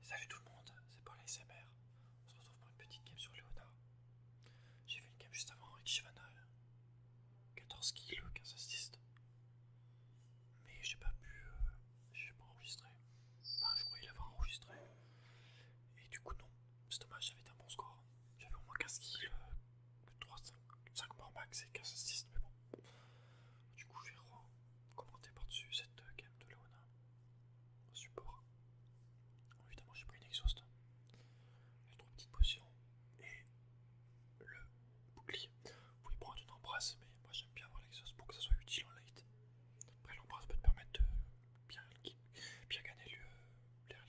Salut tout le monde, c'est Paul ASMR. On se retrouve pour une petite game sur Leona, J'ai fait une game juste avant avec Shivana. 14 kills, 15 assists. Mais j'ai pas pu. Euh, j'ai pas enregistré. Enfin, je croyais l'avoir enregistré. Et du coup, non. C'est dommage, j'avais un bon score. J'avais au moins 15 kills, 5, 5 max et 15 assists, mais bon. Du coup, je vais commenter par-dessus cette euh, gamme de Leona au support. évidemment, j'ai pris une exhaust, les trois petites potions et le bouclier. Vous pouvez prendre une embrasse, mais moi j'aime bien avoir l'exhaust pour que ça soit utile en light. Après, l'embrasse peut te permettre de bien, gagner le, les game.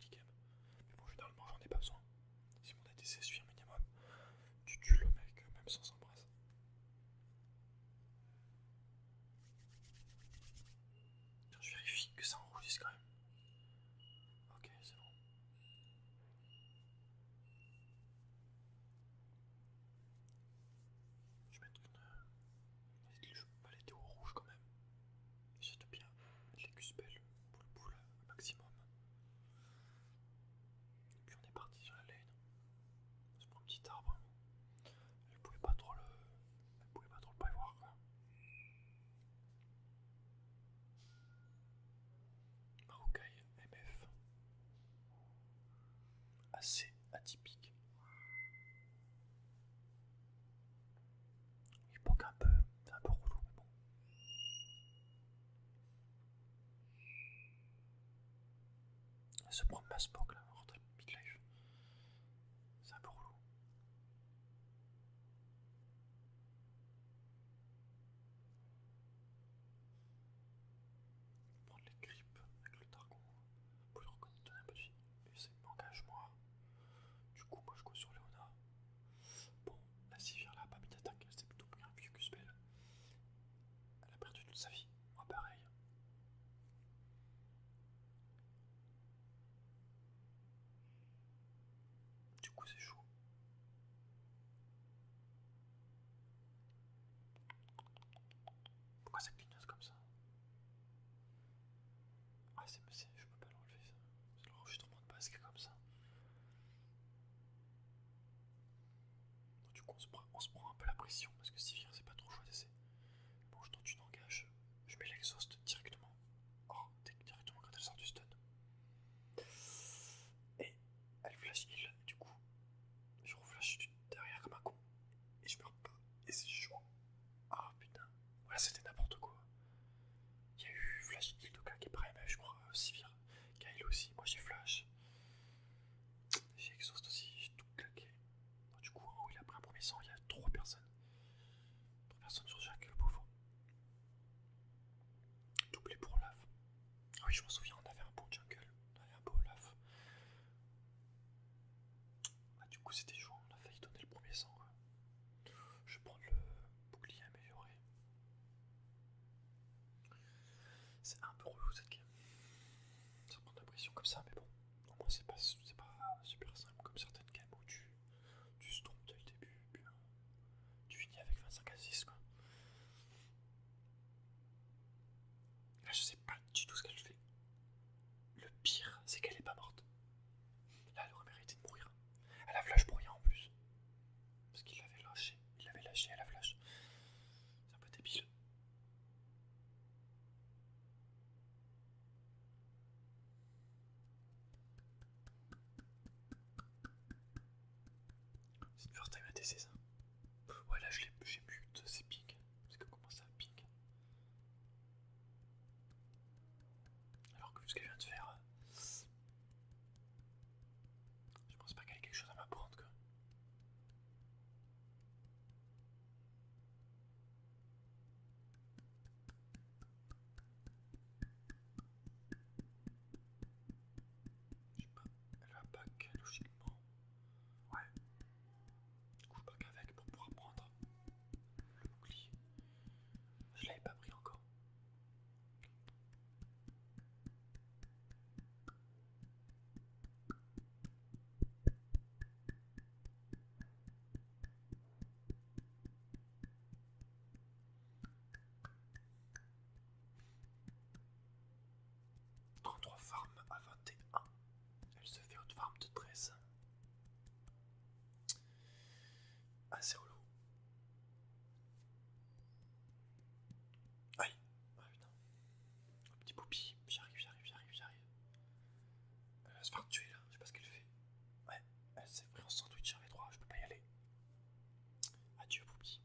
Mais bon, généralement, j'en ai pas besoin. Si mon ADC suit un minimum, tu tues le mec euh, même sans embrasse. Je vérifie que ça enrougisse quand même. Ok, c'est bon. Je vais mettre une. Je peux pas au rouge quand même. J'aime bien les pour le boule maximum. Et puis on est parti sur la laine. C'est pour un petit arbre. Elle pouvait pas trop le. pas trop le prévoir MF. Assez atypique. Il manque un peu, c'est un peu relou, mais bon. Se prendre ma Spock là, en rentrant midlife. C'est un peu relou. Prendre les grippes avec le targon pour lui donner un peu de vie. Et c'est moi. Du coup, moi je go sur Léona. Bon, la civière là pas mis d'attaque, elle s'est plutôt bien un vieux cuspel. Elle a perdu toute sa vie moi pareil. Du coup c'est chaud. Pourquoi ça clignote comme ça Ah c'est je peux pas l'enlever ça. pas l'enregistrement de est comme ça du coup, on se, prend, un peu la pression parce que Sivir, c'est pas trop choix Bon, je tente une engage, je mets l'exhaust directement. Oh, directement quand elle sort du stun. Et elle flash heal, du coup, je reflash derrière comme un con. Et je meurs pas. Et c'est chaud. Ah putain. Voilà, c'était n'importe quoi. Il y a eu flash heal, cas qui est prêt, mais je crois, euh, Sivir, Kyle aussi. Moi j'ai flash. J'ai exhaust aussi, j'ai tout claqué. du coup, en haut, il a pris un premier sang, il y a trois personnes. trois personnes sur jungle, le pauvre. Doublé pour Olaf. Ah oui, je me souviens, on avait un bon jungle. On avait un beau Olaf. Bah, du coup, c'était joué, on a failli donner le premier sang. Je vais prendre le bouclier amélioré. C'est un peu relou cette game. Ça prend de la pression comme ça, mais bon, au moins c'est pas, super simple comme certaines games où tu, tu trompes dès le début, puis euh, tu finis avec 25 à 6 quoi. Là, je sais pas du tout ce qu'elle fait. Le pire, c'est qu'elle est pas morte. Là, elle aurait mérité de mourir. Elle a flash pour rien en plus. Parce qu'il l'avait lâché. Il l'avait lâché à la flash. C'est un peu débile. C'est une first time TC ça Ouais là je l'ai j'ai but, c'est ping. Parce que comment ça ping Alors que vu ce qu'elle vient de faire. Euh, je pense pas qu'elle ait quelque chose à m'apprendre quoi. Je sais pas, elle va pas logiquement. Ouais. pour pouvoir prendre le bouclier. Je l'avais pas pris encore. 33 farms à 21. Elle se fait une farm de 13. Assez holo Aïe Ah putain petit poupi J'arrive, j'arrive, j'arrive, j'arrive. Euh, elle va se faire tuer là, je sais pas ce qu'elle fait. Ouais, elle s'est pris en sandwich un V3, je peux pas y aller. Adieu poupi.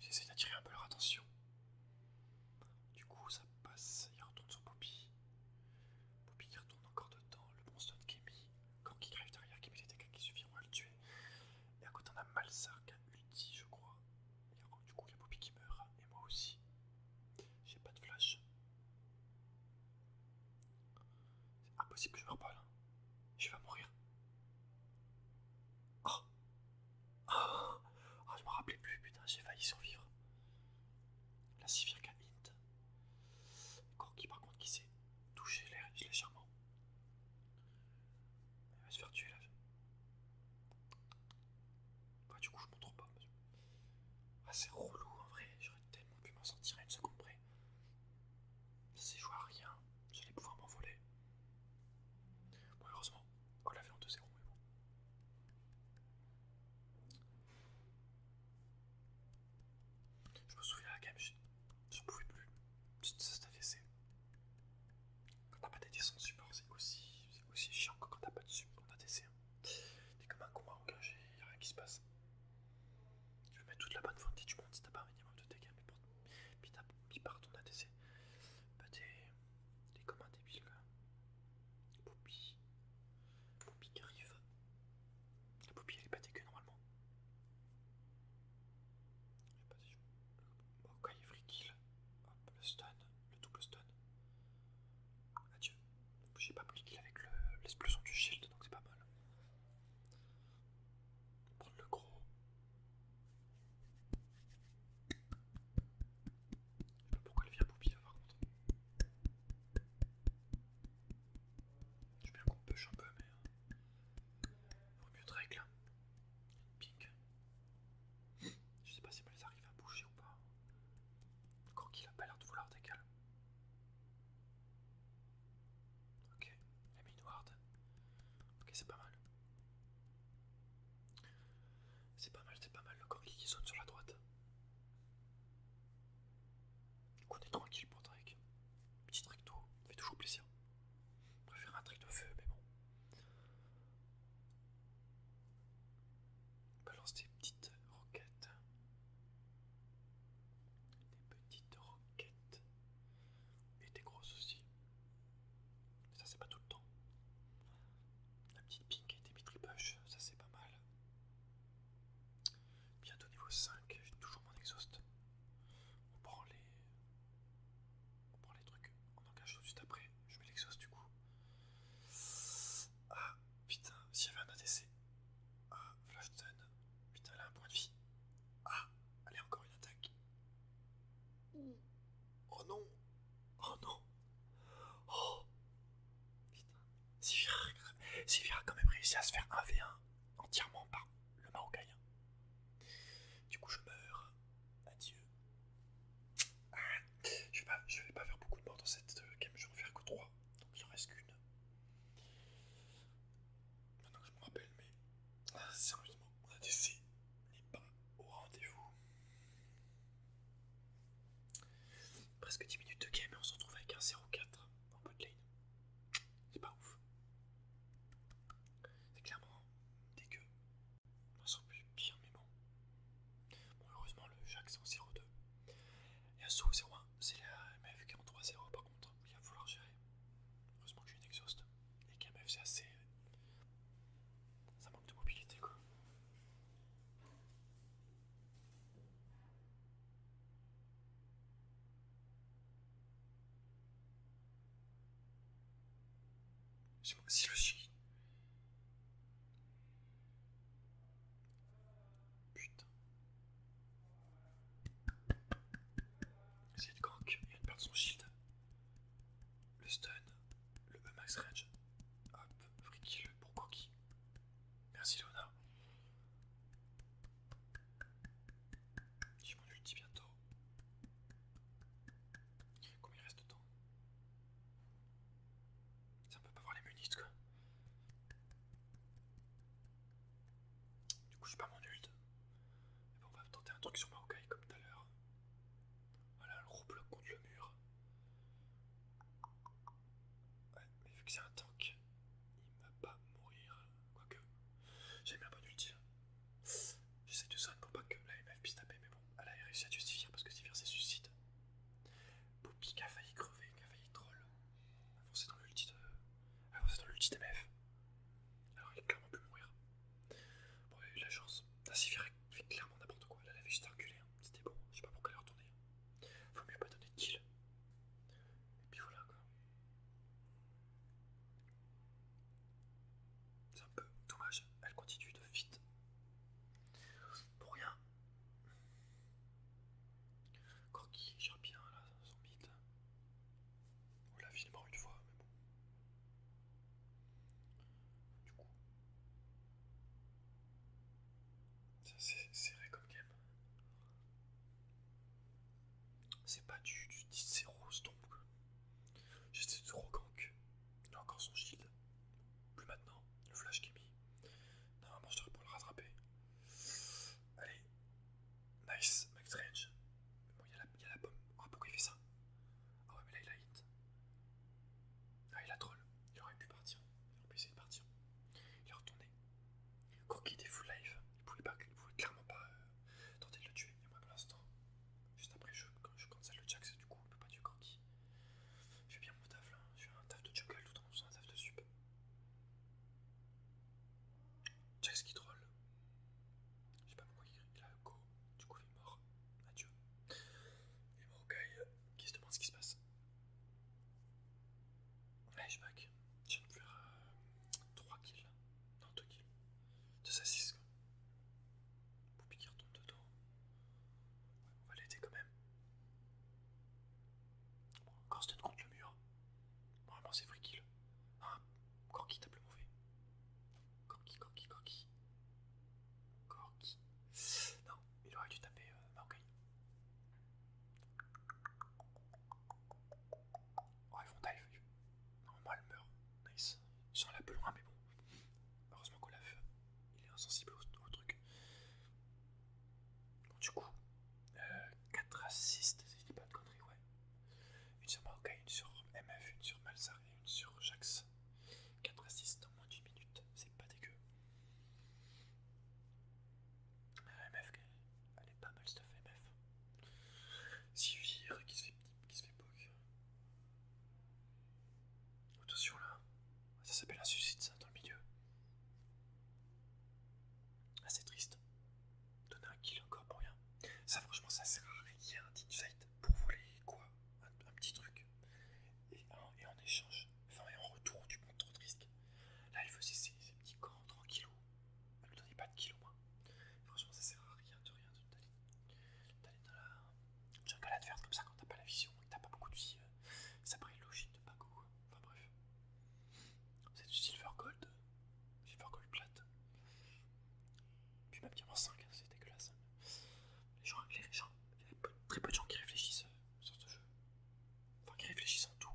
J'essaie d'attirer un peu leur attention. Du coup ça passe, il retourne sur poupie poupie qui retourne encore dedans, le bon stone qui est quand qui derrière, qui met des dégâts qui suffiront à le tuer. Et à côté, on a Malsar qui a ulti, je crois. Et du coup, il y a Bobby qui meurt. Et moi aussi. J'ai pas de flash. C'est impossible que je me pas là. Je vais mourir. Oh. oh Oh, Je me rappelais plus, putain, j'ai failli survivre. La Sivir qui a hint. Corki, par contre, qui c'est toucher légèrement. Elle va se faire tuer là. Bah, du coup, je montre pas. Ah, c'est relou en vrai, j'aurais tellement pu m'en sortir à une seconde près. Si je vois rien, j'allais pouvoir m'envoler. Bon, heureusement, on l'avait en 2-0, mais bon. Je me souviens à la game, je pouvais plus. Ça t'a Quand t'as pas d'ADC sans support, c'est aussi, aussi chiant que quand t'as pas de support c T'es comme un combat engagé, y'a rien qui se passe. je veux mettre toute la bonne volonté du monde si t'as pas un minimum de dégâts, mais, pour, mais, par ton ADC, bah t'es comme un débile. poupie poupie qui arrive. La poupie elle est pas dégueu normalement. Je sais pas si je. Le... Ok, free kill. Hop, le stun, le double stun. Adieu. J'ai pas pris le kill avec l'explosion du shield, donc c'est pas mal. Prendre le gros. Je sais pas pourquoi elle vient Poupie là par contre. Je bien qu'on pêche un peu, mais. Euh, Vaut mieux Drake là. Pink. Je sais pas si les arrive à bouger ou pas. Le qu'il a pas l'air de vouloir des Ok, elle met une ward. Ok, c'est pas mal. C'est pas mal, c'est pas mal le corgi qui sonne sur la droite. Du on est tranquille pour Drake. Petit recto, tout, fait toujours plaisir. Je préfère un truc de feu, mais bon. Balance des petites roquettes. Des petites roquettes. Et des grosses aussi. Ça c'est pas tout le temps. La petite ping et des mitripush ça c'est pas mal. Bientôt niveau 5, j'ai toujours mon exhaust. On prend les. On prend les trucs, on engage tout de suite après. Je mets l'exhaust du coup. Ah putain, s'il y avait un ADC. Ah, Flashton. Putain, elle a un point de vie. Ah, elle allez, encore une attaque. Oh non. Oh non. Oh. Putain. y a quand même réussi à se faire 1v1 entièrement par le Marocain. Du coup, je meurs. Adieu. Ah, je, vais pas, faire beaucoup de morts dans cette euh, game, je vais en faire que 3. Donc il en reste qu'une. Maintenant que je me rappelle, mais ah, sérieusement, la DC n'est pas au rendez-vous. Presque 10 minutes de game et on se retrouve avec un 0-4 en botlane. C'est pas ouf. C'est clairement dégueu. On sent plus bien mais bon. heureusement, le Jacques c'est en 0,2. Et un 0 0,1, c'est la MF qui est en par contre. Il va falloir gérer. Heureusement que j'ai une exhaust. Et qu'AMF c'est assez. Euh, ça manque de mobilité quoi. C'est moi le Putain. C'est le gank, il vient de son shield. Le stun, le max range. Hop, free le. pour Koki. Merci Lona. J'ai mon ulti bientôt. Combien il reste de temps Ça peut pas voir les munitions quoi. Du coup, je pas mon ult. Et bon, on va tenter un truc sur Maokai comme tout à l'heure. Voilà, le roux bloc contre le mur. Ouais, mais vu que c'est un tank, il ne va pas mourir. Quoique, j'ai bien un bon ulti. J'essaie de sonner pour pas que la MF puisse taper, mais bon, elle a réussi à justifier parce que Sivir s'est suicide. Poppy qui a failli crever, qui a failli troll, avancé dans l'ulti de... MF. Alors il a clairement pu mourir. Bon, il a eu de la chance. La ah, Sivir a fait clairement n'importe quoi, elle avait juste à reculer, hein. c'était bon, je sais pas pourquoi elle est retourné Faut mieux pas donner de kill. Et puis voilà quoi. C'est un peu dommage, elle continue de vite. Pour rien. Corky gère bien là, son beat. On l'a finalement une fois, mais bon. Du coup. C'est serré comme game. C'est pas du, du 10, c'est rose donc. J'étais trop gank. Il a encore son shield. Plus maintenant, le flash qui est mis. Normalement, je devrais pour le rattraper. Allez. Nice, McStrange. Range. Bon, il y, a la, bombe. Ah, pourquoi il fait ça Ah, ouais, mais là, il a hit. Ah, il a troll. Il aurait pu partir. Il aurait pu essayer de partir. Il est retourné. Cookie était full life. Il pouvait, il pouvait clairement pas euh, euh, tenter de le tuer, mais moi pour l'instant, juste après je, quand je cancel le Jax, du coup on peut pas tuer Corki. Je fais bien mon taf là, je fais un taf de jungle tout en faisant un taf de sup. Jax qui troll. Je sais pas pourquoi il a go, du coup il est mort. Adieu. Et gars qui se demande ce qui se passe. Allez, je back. Je viens de faire 3 euh, kills. Non, 2 kills de sassis quoi. qui retourne dedans. Ouais, on va l'aider quand même. Bon, tête contre le mur. vraiment c'est free kill. Corki tape le mauvais. Corki, Corki, Corki. Corki. Non, il aurait dû taper euh, Oh, ils vont dive. Normalement, elle meurt. Nice. Ils sont là plus loin, mais bon. Heureusement qu'Olaf, il est insensible au, trucs. truc. du coup, euh, 4 assists, c'est pas de conneries, ouais. Une sur Maokai, une sur MF, une sur Malzar et une sur Jax. 4 assists en moins d'une minute, c'est pas dégueu. Euh, MF, elle est pas mal stuff, MF. Sivir qui se fait qui se fait poke. Attention là, ça s'appelle un suicide ça dans le milieu. Assez ah, triste. Donner un kill encore pour rien. Ça franchement ça sert à rien un petit site pour voler quoi un, petit truc. Et, en échange, enfin et en retour du montres trop triste. Là il faisait ses, ses petits camps tranquillos. Elle lui donnait pas de kilos, moins. Franchement, ça sert à rien de rien de d'aller dans la jungle adverse comme ça quand t'as pas la vision que t'as pas beaucoup de vie. Ça paraît logique de goûter. Enfin bref. C'est du silver gold. Silver gold plate. Puis même diamant 5, hein, c'est dégueulasse. Les gens, les gens, il y a très peu de gens qui réfléchissent euh, sur ce jeu. Enfin, qui réfléchissent en tout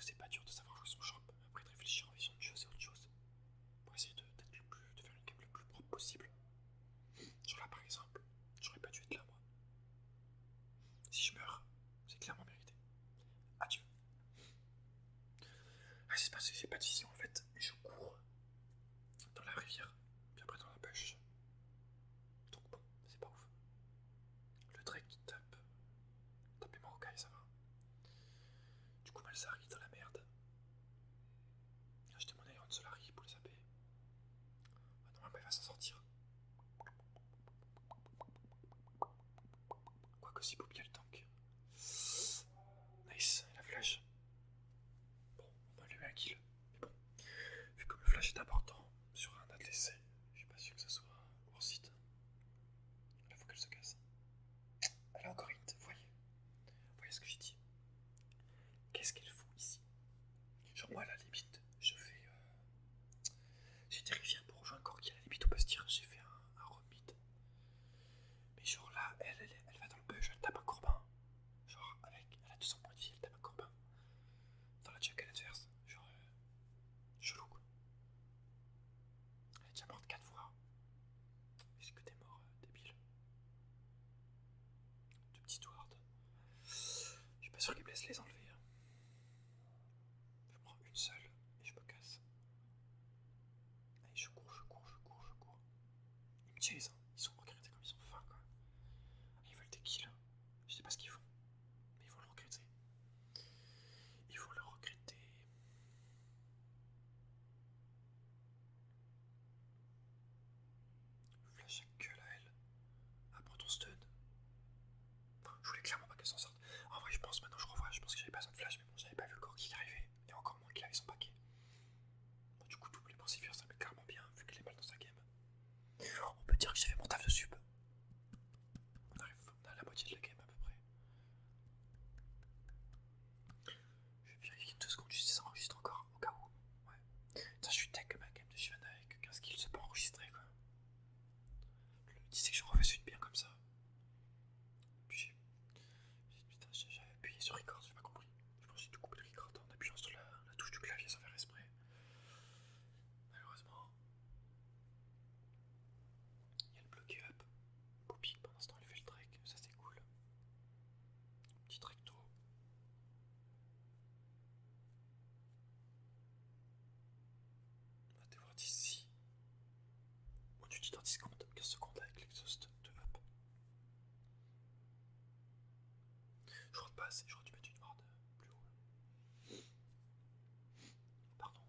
c'est pas dur de savoir jouer son champ. Après de réfléchir en vision de choses et autre chose. Pour essayer de, faire une game le plus propre possible. sur là par exemple, j'aurais pas dû être là moi. Si je meurs, c'est clairement mérité. Adieu. Ah, c'est parce que j'ai pas de vision en fait, je cours dans la rivière, puis après dans la bûche. Donc bon, c'est pas ouf. Le trek qui tape Tapez Marocain, ça va. Du coup, Malzari dans la merde. J'ai acheté mon de Solari pour les AP. Ah, normalement, il va s'en sortir. Quoique, si bien le tank. Nice, la flèche Bon, on va lui mettre un kill. Mais bon, vu que le flash est important sur un ATC, je suis pas sûr que ça soit hors site. Il faut qu'elle se casse. Elle a encore Corinth, vous voyez voyez ce que j'ai dit Qu'est-ce qu'elle fout ici Genre moi à la limite, je fais... Euh, j'ai des rivières pour rejoindre qui à la limite on peut se dire, j'ai fait un, remit. Mais genre là, elle, elle, va dans le bush, elle tape un corbin. Genre avec, elle a 200 points de vie, elle tape un courbin. Dans la jungle adverse, genre... Euh, chelou quoi. Elle est déjà morte 4 fois. Est-ce que t'es mort, euh, débile Deux petits Ward. Je suis pas sûr qu'ils me les enlever. Hein. Je prends une seule et je me casse. Allez, je cours, je cours, je cours, je cours. Ils me disent. ils sont regrettés comme ils sont fins, quoi. ils veulent des kills. Hein. Je sais pas ce qu'ils font, mais ils vont le regretter. Ils vont le regretter. Flash à gueule à elle. à ton stun. Je voulais clairement pas qu'elle s'en sorte. En vrai, je pense, maintenant je revois, je pense que j'avais pas besoin de flash, mais bon, j'avais pas vu encore qui arrivait, et encore moins qu'il avait son paquet. du coup, double pour ça met carrément bien, vu qu'elle est mal dans sa game. On peut dire que j'avais fait mon taf de sub. On arrive à la moitié de la game à peu près. Je vais vérifier deux secondes juste si ça enregistre encore, au cas où. Ouais. je suis tech ma game de Shivana avec 15 kills, c'est pas enregistré quoi. Le que je refais une bien comme ça. Puis Putain, j'avais appuyé sur record, j'ai pas compris. Je pense que j'ai tout coupé le record en appuyant sur la, la touche du clavier sans faire esprit. Malheureusement. Il y a le bloqué up. Boupi, pendant ce temps, il fait le trek, ça c'est cool. Petit d'eau. On va te voir d'ici. Quand tu dis dans 10 secondes, 15 secondes avec l'exhaust de map. Je crois pas assez, j'aurais dû mettre une barre plus haut. Pardon.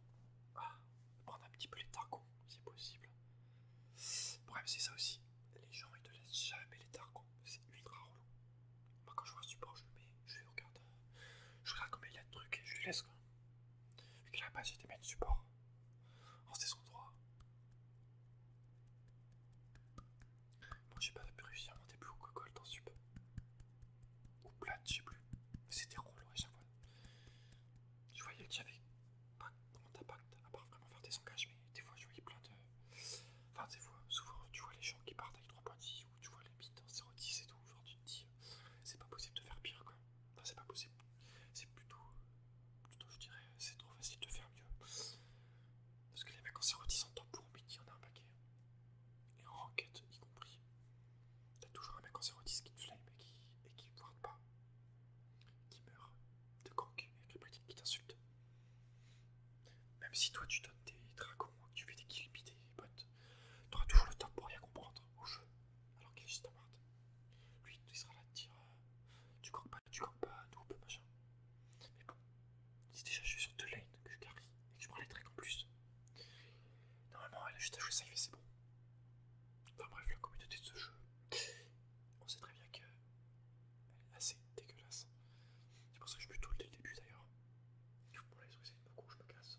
Ah, prendre un petit peu les targons si possible. Bref, c'est ça aussi. Les gens ils te laissent jamais les targons, c'est ultra relou. Moi quand je vois un support je le mets, je regarde, hein. je regarde combien il y a de trucs et je lui laisse quoi. Vu qu'il a pas été mettre support. En saison 3. Moi j'ai pas pu réussir à monter plus au que Gold en sup. Ou plate, je sais plus. c'était relou à chaque fois. Je voyais que j'avais pas grand impact, à part vraiment faire des engages, mais des fois je voyais plein de. Enfin, des fois, souvent tu vois les gens qui partent avec 3.10 ou tu vois les bits en 0.10 et tout, genre tu te dis, euh, c'est pas possible de faire pire quoi. Enfin, c'est pas possible. C'est plutôt. Plutôt, je dirais, c'est trop facile de faire mieux. Parce que les mecs en 0.10 en temps pour midi, en a un paquet. Et en enquête y compris. T'as toujours un mec en 010 qui te flame et qui, et pas. Qui meurt de gank et qui t'insulte. Même si toi tu donnes des dragons, hein, tu fais des kills, des bots, t'auras toujours le temps pour rien comprendre au jeu. Alors qu'il est juste ward. Lui, il sera là te dire euh, tu gank pas, tu gank pas, noob, machin. Mais bon, si déjà je suis sur deux lanes que je carry et que je prends les tricks en plus, normalement elle a juste à jouer safe et c'est bon. Enfin bref, la communauté de ce jeu, on sait très bien qu'elle est assez dégueulasse. C'est pour ça que je bute dès le début d'ailleurs. Pour les que de me je me casse.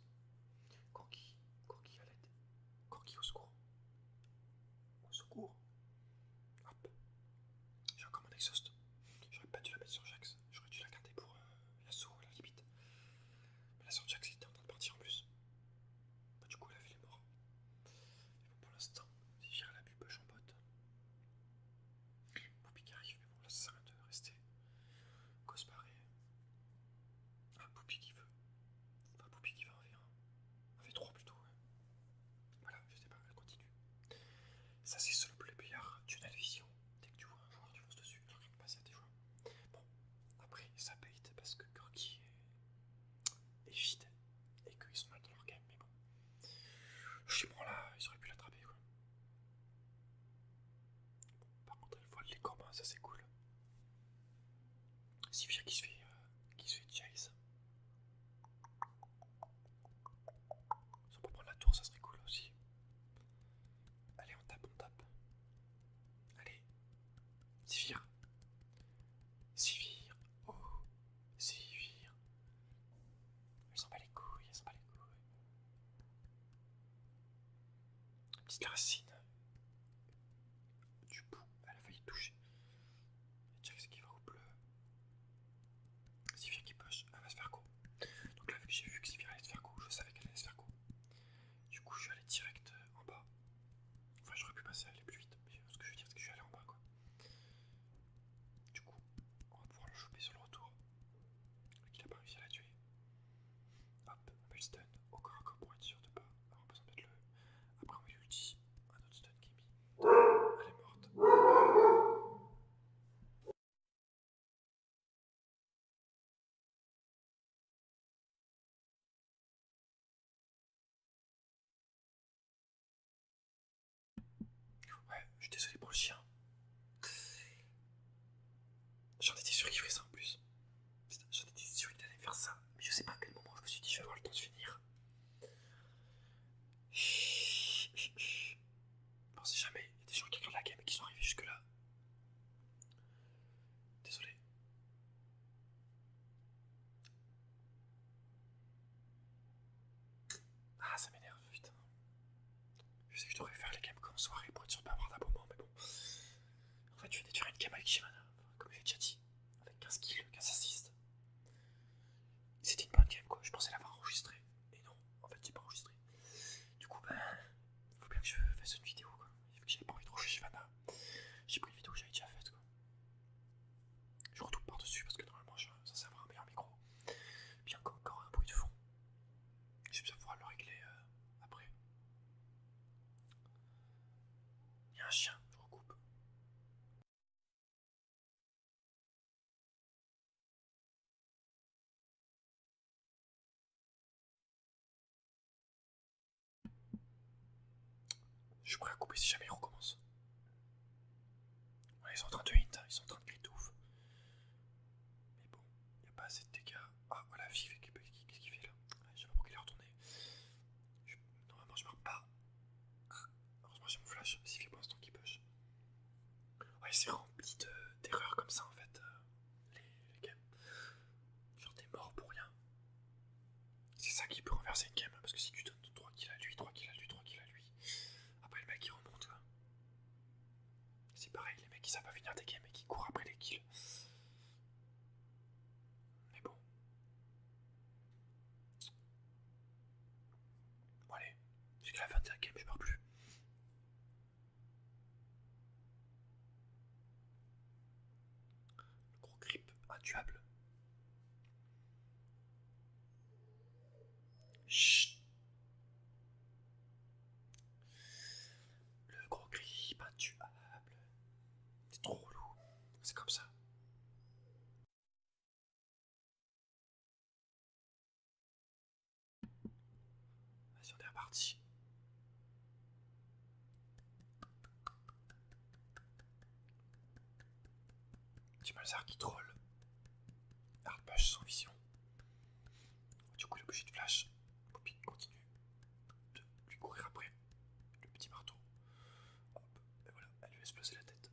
Corki, Corki à l'aide. Corki au secours. Au secours. Hop. J'ai encore mon exhaust. J'aurais pas dû la mettre sur Jax. J'aurais dû la garder pour euh, la Yasuo à la limite. Mais la sur Jax il était en train de partir en plus. Bah, du coup, la ville est morte. pour l'instant, si j'irai à la pub, j'en botte. Poupie qui arrive, mais bon, là, ça sert à rien de rester. Cosparé. Un Ah, Poupie qui veut. Enfin, Poupie qui va en V1. En V3 plutôt, ouais. Voilà, je sais pas, elle continue. Ça, c'est le plus player, tunnel vision. Dès que tu vois un joueur, tu fonces dessus. Alors qu'il passe à tes joueurs. Bon, après, ça bait parce que Gorky est et vide et qu'ils sont mal dans leur game, mais bon. Je suis bon là, ils auraient pu l'attraper quoi. par contre, elle volent les combats, ça c'est cool. si Sivir qui se fait, euh, qui se fait chase. Si on peut prendre la tour, ça serait cool aussi. Allez, on tape, on tape. Allez, Sivir. Sivir. Oh, Sivir. Elle s'en bat les couilles, elle s'en bat les couilles. petite racine du bout, elle a failli toucher. ce qui va au bleu. Sivir qui push, elle va se faire quoi Donc là, vu que j'ai vu que Sivir allait se faire quoi, je savais qu'elle allait se faire quoi. Du coup, je suis allé direct euh, en bas. Enfin, j'aurais pu passer à aller plus vite, mais ce que je veux dire, c'est que je suis allé en bas quoi. Du coup, on va pouvoir le choper sur le retour. Qu'il a pas réussi à la tuer. Hop, on peut le stun au corps à pour être sûr de pas avoir besoin de mettre le. Après, on lui dit un autre stun qui est mis. Elle est morte. Ouais, je suis désolé pour le chien. J'en étais sûr qu'il ferait ça en plus. J'en étais sûr qu'il allait faire ça. Mais je sais pas à quel moment je me suis dit je vais avoir le temps de finir. On sait jamais, il y a des gens qui regardent la game qui sont arrivés jusque là. Désolé. Ah, ça m'énerve, putain. Je sais que je devrais faire les games comme soirée pour être sûr de pas avoir d'abonnement, mais bon. En fait, je vais détruire une game avec Shimana, comme j'ai déjà dit, avec 15 kills, 15 assists. C'était une bonne game, quoi. Je pensais l'avoir enregistrée, et non, en fait, j'ai pas enregistré. Du coup, ben, faut bien que je fasse une vidéo, quoi j'avais pas envie de j'ai pris une vidéo que j'avais déjà faite Je retourne par-dessus parce que normalement je, ça sert à un meilleur micro. Bien encore un bruit de fond. Je vais pouvoir le régler euh, après. Il y a un chien, je recoupe. Je suis prêt à couper si jamais il recommence. Ouais, ils sont en train de hit, hein. ils sont en train de de ouf. Mais bon, il n'y a pas assez de dégâts. Ah, voilà, vive, qu'est-ce qu'il fait là Je sais pas pourquoi il est retourné. Normalement, je ne pas. Ah, heureusement, j'ai mon flash. S'il fait un instant qui push. Ouais, c'est rempli d'erreurs comme ça en fait. Euh, les, les games. Genre, t'es mort pour rien. C'est ça qui peut renverser une game, parce que si tu donnes 3 kills à lui, 3 kills à lui, 3 kills à lui, après le mec il remonte C'est pareil, les mecs ils savent pas finir des games et qui courent après les kills. Mais bon. Bon allez, jusqu'à la fin de la game, je pars plus. Le gros grip intuable. Chut. Le gros grip intuable. C'est trop lourd. C'est comme ça. Vas-y, on est reparti. Tu Malzar qui troll. Arpage sans vision. Du coup, le est obligé de flash. Poppy continue de lui courir après. Le petit marteau. Hop, et voilà, elle lui a explosé la tête.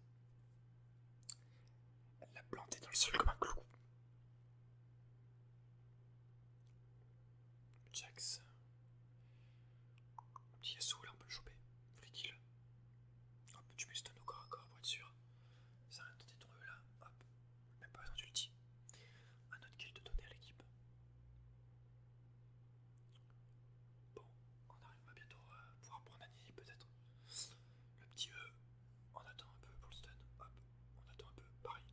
Elle l'a planté dans le sol comme un clou. Jax. Petit SO là, on peut le choper. Free kill. Hop, tu mets stun encore, corps corps pour être sûr. Ça a tenté ton E là. Hop, même pas un ulti. Un autre kill de donner à l'équipe. Bon, on arrive bientôt à euh, pouvoir prendre Annie peut-être. Le petit E, on attend un peu pour le stun. Hop, on attend un peu. Pareil.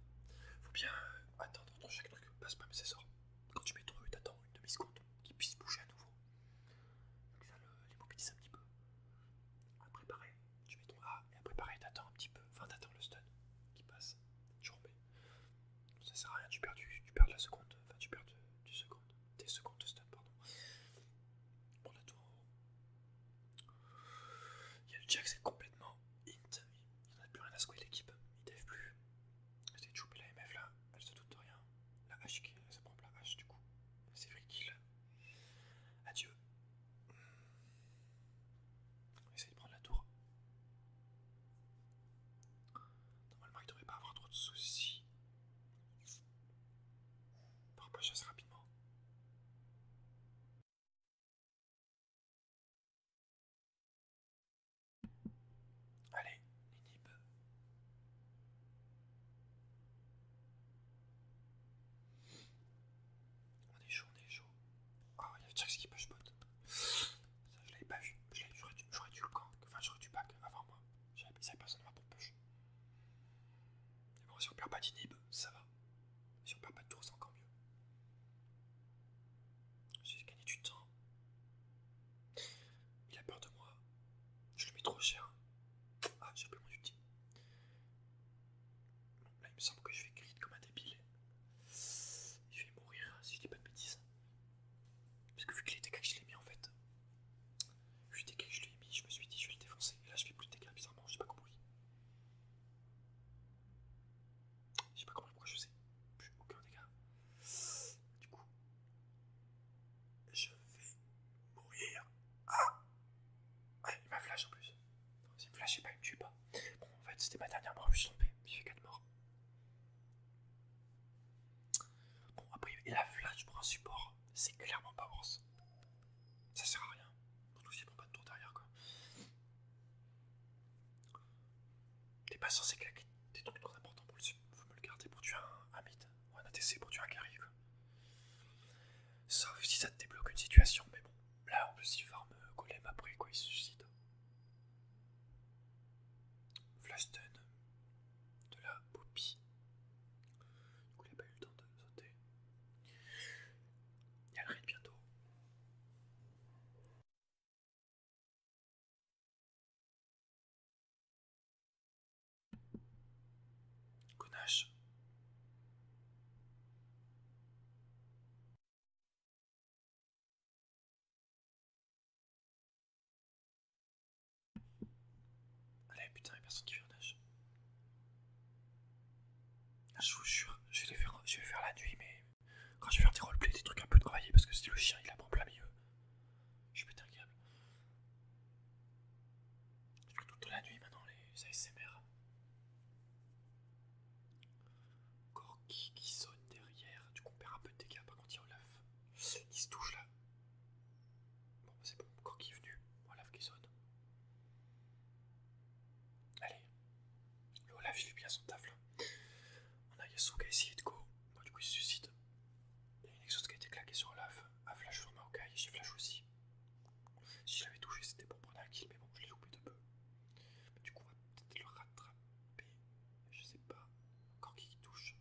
Faut bien euh, attendre entre chaque truc. Passe pas, mais c'est sort quand tu mets ton E, t'attends une demi-seconde qu'il puisse bouger à nouveau. Donc ça un petit peu. Après pareil, tu mets ton A et après pareil, t'attends un petit peu. Enfin, t'attends le stun qui passe. Tu remets. Ça sert à rien, tu perds, tu perds la seconde. Enfin, tu perds Des secondes de stun, pardon. Bon, la tour Il y a le Jack, c'est complètement int. Il n'y a plus rien à secouer l'équipe. Il dev plus. C'était chopé la MF là, elle se doute de rien. La H qui. ça prend la hache du coup. C'est vrai qu'il... Adieu. On essayer de prendre la tour. Normalement il devrait pas avoir trop de soucis. Par pas chasse rapidement. Allez, inhib. On est chaud, on est chaud. oh, il y a truc qui push bot. Ça, je l'avais pas vu. J'aurais dû, le camp. Enfin, j'aurais dû back avant moi. J'avais ça, personne ne m'a pour push. Mais bon, si on perd pas d'inhib, ça va. Si on perd pas de tour, c'est encore mieux. J'ai gagné du temps. Il a peur de moi. Je le mets trop cher. Ah, j'ai plus mon ulti. là, il me semble que je vais grid comme un débile. je vais mourir si je dis pas de bêtises. Parce que vu que les dégâts que je l'ai mis en fait, vu les dégâts que je l'ai mis, je me suis dit je vais le défoncer. Et là, je fais plus de dégâts, bizarrement, sais pas compris. Je sais pas comment pourquoi je sais plus aucun dégât. Du coup, je vais mourir. Ah Ouais, il m'a flash en plus. il me flashait pas, il me pas. Bon, en fait, c'était ma dernière mort, je suis tombé, J'ai fait 4 morts. Bon, après, et la flash pour un support, c'est clairement pas worse. Ça sert à rien. Surtout il prend pas de tour derrière, quoi. T'es pas censé claquer des trucs trop importants pour le sub. Faut me le garder pour tuer un, un ou un ATC pour tuer un carry Sauf si ça te débloque une situation, mais bon. Là en plus il farm euh, golem après quoi, il se suicide. Flashtun de la poppy. Du coup a pas eu le temps de sauter. Il y a le raid bientôt. Connache. Allez putain, y'a personne qui vient nage. Ah, je vous jure, je vais, je vais faire la nuit mais quand je vais faire des roleplays, des trucs un peu travaillés, parce que c'est le chien, il la prend plein milieu. Je suis pété un câble. Je fais toute la nuit maintenant les ASMR. Corki qui saute derrière, du coup on perd un peu de dégâts, par contre il Olaf. Il se touche là. Bon, c'est bon, Corki est venu, Olaf qui saute. Allez, le Olaf il fait bien son taf là. On a Yasuka ici, et go du coup, il se suicide. il y a une exhaust qui a été claquée sur l'œuf, a Flash sur ma et j'ai Flash aussi. Si je l'avais touché, c'était pour prendre un kill, mais bon, je l'ai loupé de peu. du coup, on va peut-être le rattraper. Je sais pas encore qui touche.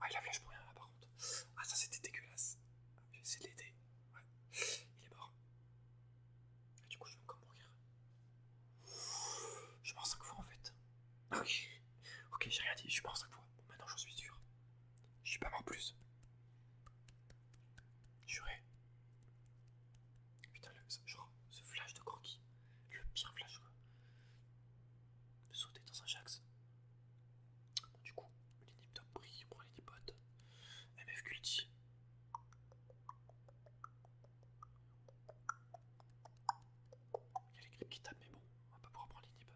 Ah, il a flash pour rien là par contre. Ah, ça c'était dégueulasse. J'ai essayé de l'aider. Ouais, il est mort. du coup, je vais encore mourir. Je pense 5 fois en fait. Ah ok, ok, j'ai rien dit, je pense 5 fois. maintenant j'en suis sûr. Je suis pas mort plus. Juré. Putain, le, genre, ce flash de croquis, Le pire flash, quoi. De sauter dans un Jax. du coup, les top brille, on prend MF Culti. Il y a les grippes qui tapent, mais bon, on va pas pouvoir prendre l'inhib.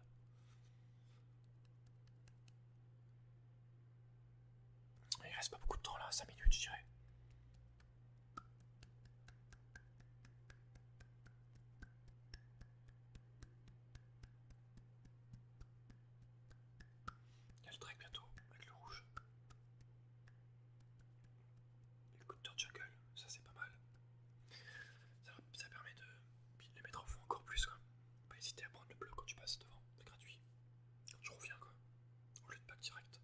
Il reste pas beaucoup de temps là, 5 minutes je dirais. Il y a le drake bientôt avec le rouge le de Jungle, ça c'est pas mal. Ça, permet de, le mettre en fond encore plus, quoi. Pas hésiter à prendre le bleu quand tu passes devant, c'est gratuit. Je tu reviens, quoi. Au lieu de pack direct,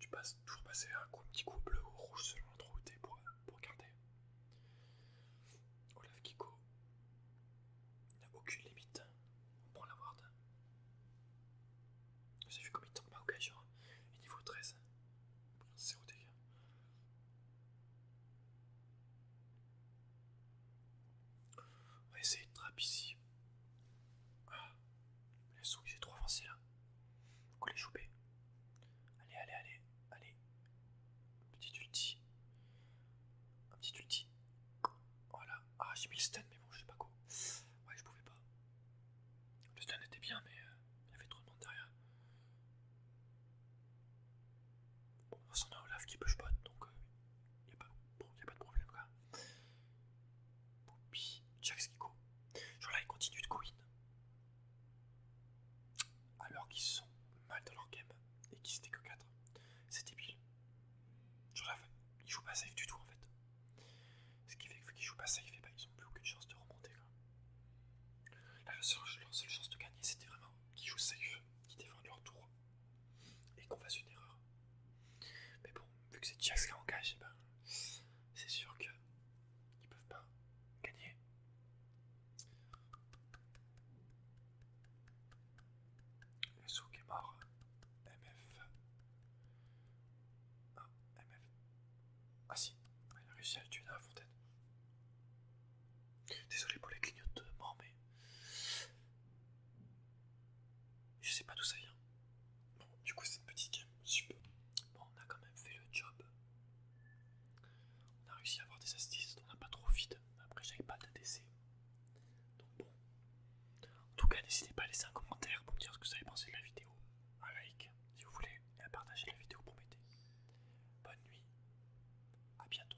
tu passes toujours passer un, petit coup bleu ou rouge selon l'endroit où pour, pour garder. Olaf Kiko n'a aucune limite, on prend la ward. J'ai vu comme il tombe à il genre niveau 13. 0 dégâts. On va essayer de trap ici. Ah. souris c'est trop avancé là. Faut les choper. Allez, allez, allez, allez. Petit ulti. Un petit ulti. Voilà. Ah, j'ai mis le stun, mais bon, je sais pas quoi. Ouais, je pouvais pas. Le stun était bien, mais. Euh, il y avait trop de monde derrière. Bon, de a Olaf qui push bot, donc il euh, n'y a, pas de problème quoi. check Jacks qui Genre là, il continue de coin, Alors qu'ils sont mal dans leur game et qu'ils étaient que 4. C'est débile. Genre là, il joue pas safe du tout en fait. Ce qui fait que vu qu'ils jouent pas safe, bah, ils n'ont plus aucune chance de remonter. leur seule, chance de gagner, c'était vraiment qu'ils jouent safe, qu'ils défendent leur tour et qu'on fasse une erreur. Mais bon, vu que c'est Chaska qui engage, eh ben, c'est sûr qu'ils peuvent pas gagner. Le souk est mort. MF. Ah, MF. Ah si, elle ah, a réussi à le tuer dans la fontaine. Désolé pour les clignotements, mais. Je sais pas d'où ça vient. Bon, du coup, c'est une petite game, super. Bon, on a quand même fait le job. On a réussi à avoir des astuces, on n'a pas trop vide. Après, j'avais pas d'ADC. Donc bon. En tout cas, n'hésitez pas à laisser un commentaire pour me dire ce que vous avez pensé de la vidéo. Un like si vous voulez, partagez partager la vidéo pour m'aider. Bonne nuit, à bientôt.